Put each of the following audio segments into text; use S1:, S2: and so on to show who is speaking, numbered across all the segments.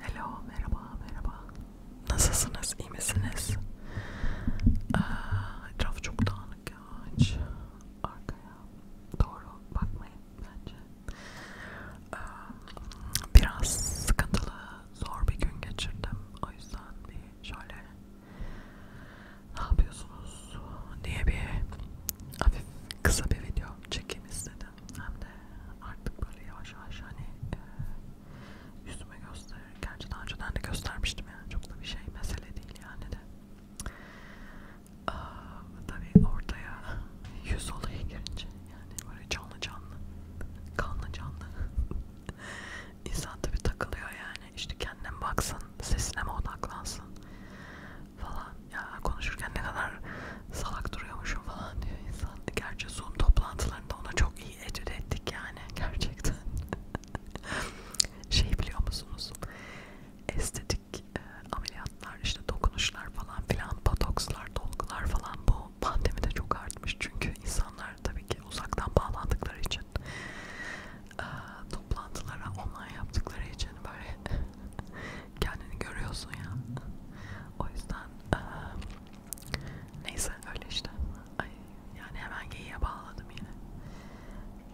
S1: Hello, merhaba, merhaba. Nasılsınız, iyi misiniz? Aa, etraf çok dağınık ya, hiç arkaya doğru bakmayın bence. Aa, biraz sıkıntılı, zor bir gün geçirdim. O yüzden bir şöyle ne yapıyorsunuz diye bir hafif kısa bir video çekeyim istedim hem de artık böyle yavaş yavaş hani e, yüzüme gösterir. Gerçi daha önceden de göstermiştim yani çok da bir şey mesele değil yani de. Aa, tabii ortaya yüz olaya girince yani böyle canlı canlı, kanlı canlı insan tabii takılıyor yani işte kendine baksın, sesine mi odaklansın falan ya konuşurken ne kadar salak duruyormuşum falan diyor insan. Gerçi Zoom toplantılarında ona çok iyi etüt ettik yani gerçekten. şey biliyor musunuz? Estetik e, ameliyatlar işte dokunuşlar falan filan botokslar, dolgular falan bu pandemide çok artmış çünkü insanlar tabii ki uzaktan bağlandıkları için e, toplantılara online yaptıkları için böyle kendini görüyorsun ya. O yüzden e, neyse öyle işte. Ay, yani hemen geyiğe bağladım yine.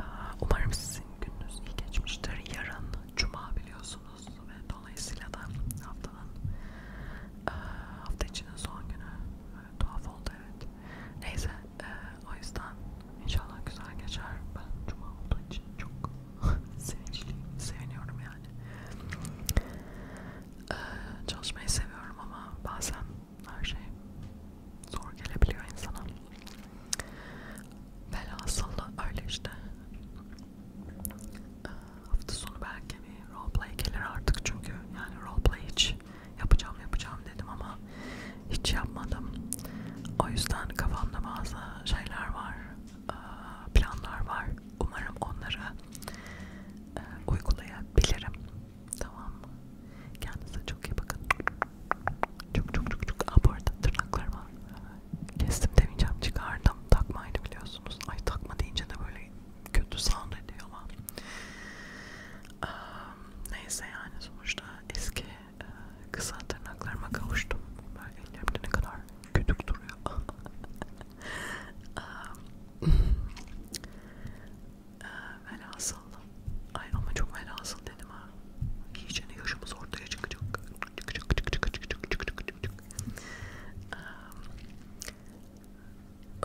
S1: E, umarım sizin gününüz iyi geçmiştir. Yarın Cuma biliyorsunuz ve dolayısıyla da haftanın e, hafta içinin son günü e, tuhaf oldu evet. Neyse ee, o yüzden inşallah güzel geçer. Ben cuma olduğu için çok sevinçliyim, seviniyorum yani. Ee, çalışmayı seviyorum ama bazen her şey zor gelebiliyor insana. Velhasıl öyle işte. Ee, hafta sonu belki bir roleplay gelir artık çünkü yani roleplay hiç yapacağım yapacağım dedim ama hiç yapmadım. O yüzden kafamda bazı şeyler var, planlar var. Umarım onları uygulayabilirim. Tamam mı? Kendinize çok iyi bakın. Çok çok çok çok. Aa, bu arada tırnaklarımı kestim demeyeceğim. Çıkardım. Takmaydı biliyorsunuz. Ay takma deyince de böyle kötü sound ediyor ama. Ee, neyse yani sonuçta eski e, kısa tırnaklarıma kavuştum. Böyle ellerimde ne kadar kütük duruyor. ee, e, velhasıl. Ay ama çok velhasıl dedim ha. İyice ne yaşımız ortaya çıkacak. Çık çık çık çık çık çık çık çık çık. Ee,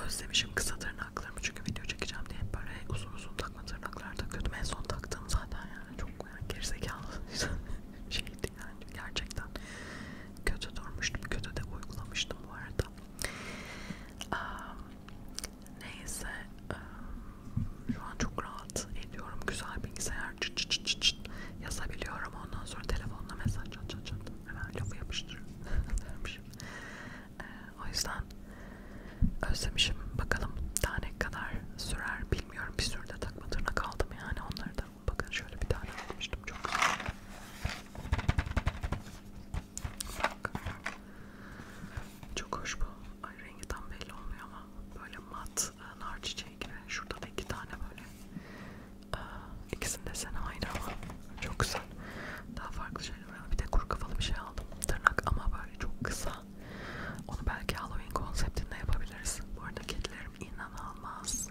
S1: özlemişim kısa tırnaklarımı çünkü video çekeceğim diye hep böyle uzun uzun takma tırnaklar takıyordum. En son taktığım zaten yani çok yani gerizekalı şeydi yani gerçekten kötü durmuştum. Kötü de uygulamıştım bu arada. Um, neyse um, şu an çok rahat ediyorum. Güzel bilgisayar çıt çıt çıt çıt yazabiliyorum. Ondan sonra telefonla mesaj çat çat çat hemen lafı yapıştırıyorum vermişim. Ee, o yüzden özlemişim. Bakalım daha ne kadar sürer bilmiyorum. Bir sürü de takma tırnak aldım yani onları da. Bakın şöyle bir tane almıştım çok güzel. Bak. Çok hoş bu. Ay rengi tam belli olmuyor ama böyle mat e, nar çiçeği gibi. Şurada da iki tane böyle İkisinde sen aynı ama çok güzel. Daha farklı şeyler var. Bir de kuru kafalı bir şey aldım. Tırnak ama böyle çok kısa. Onu belki Halloween konseptinde yapabiliriz. Bu arada kedilerim inanılmaz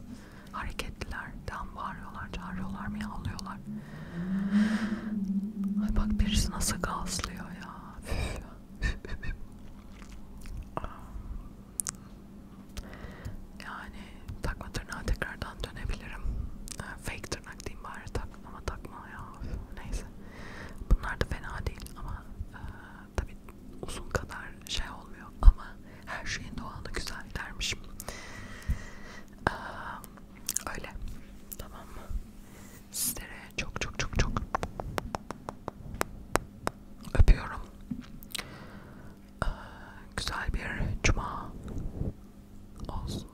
S1: hareketliler. Tam bağırıyorlar, çağırıyorlar, miyavlıyorlar. Ay bak birisi nasıl gazlıyor ya. Yani takma tırnağa tekrardan dönebilirim. Ee, fake tırnak diyeyim bari tak ama takma ya. Neyse. Bunlar da fena değil ama e, tabi uzun kadar şey olmuyor ama her şeyin doğalı güzel dermişim. E, öyle. Tamam mı? Sizlere çok çok çok çok Öpüyorum. Ee, güzel bir cuma olsun.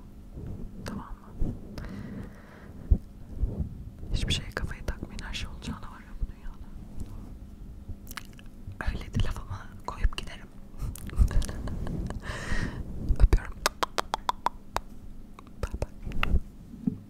S1: Tamam mı? Hiçbir şeye kafayı takmayın. Her şey olacağına var ya bu dünyada. Öyle de lafıma koyup giderim. Öpüyorum. Bye bye.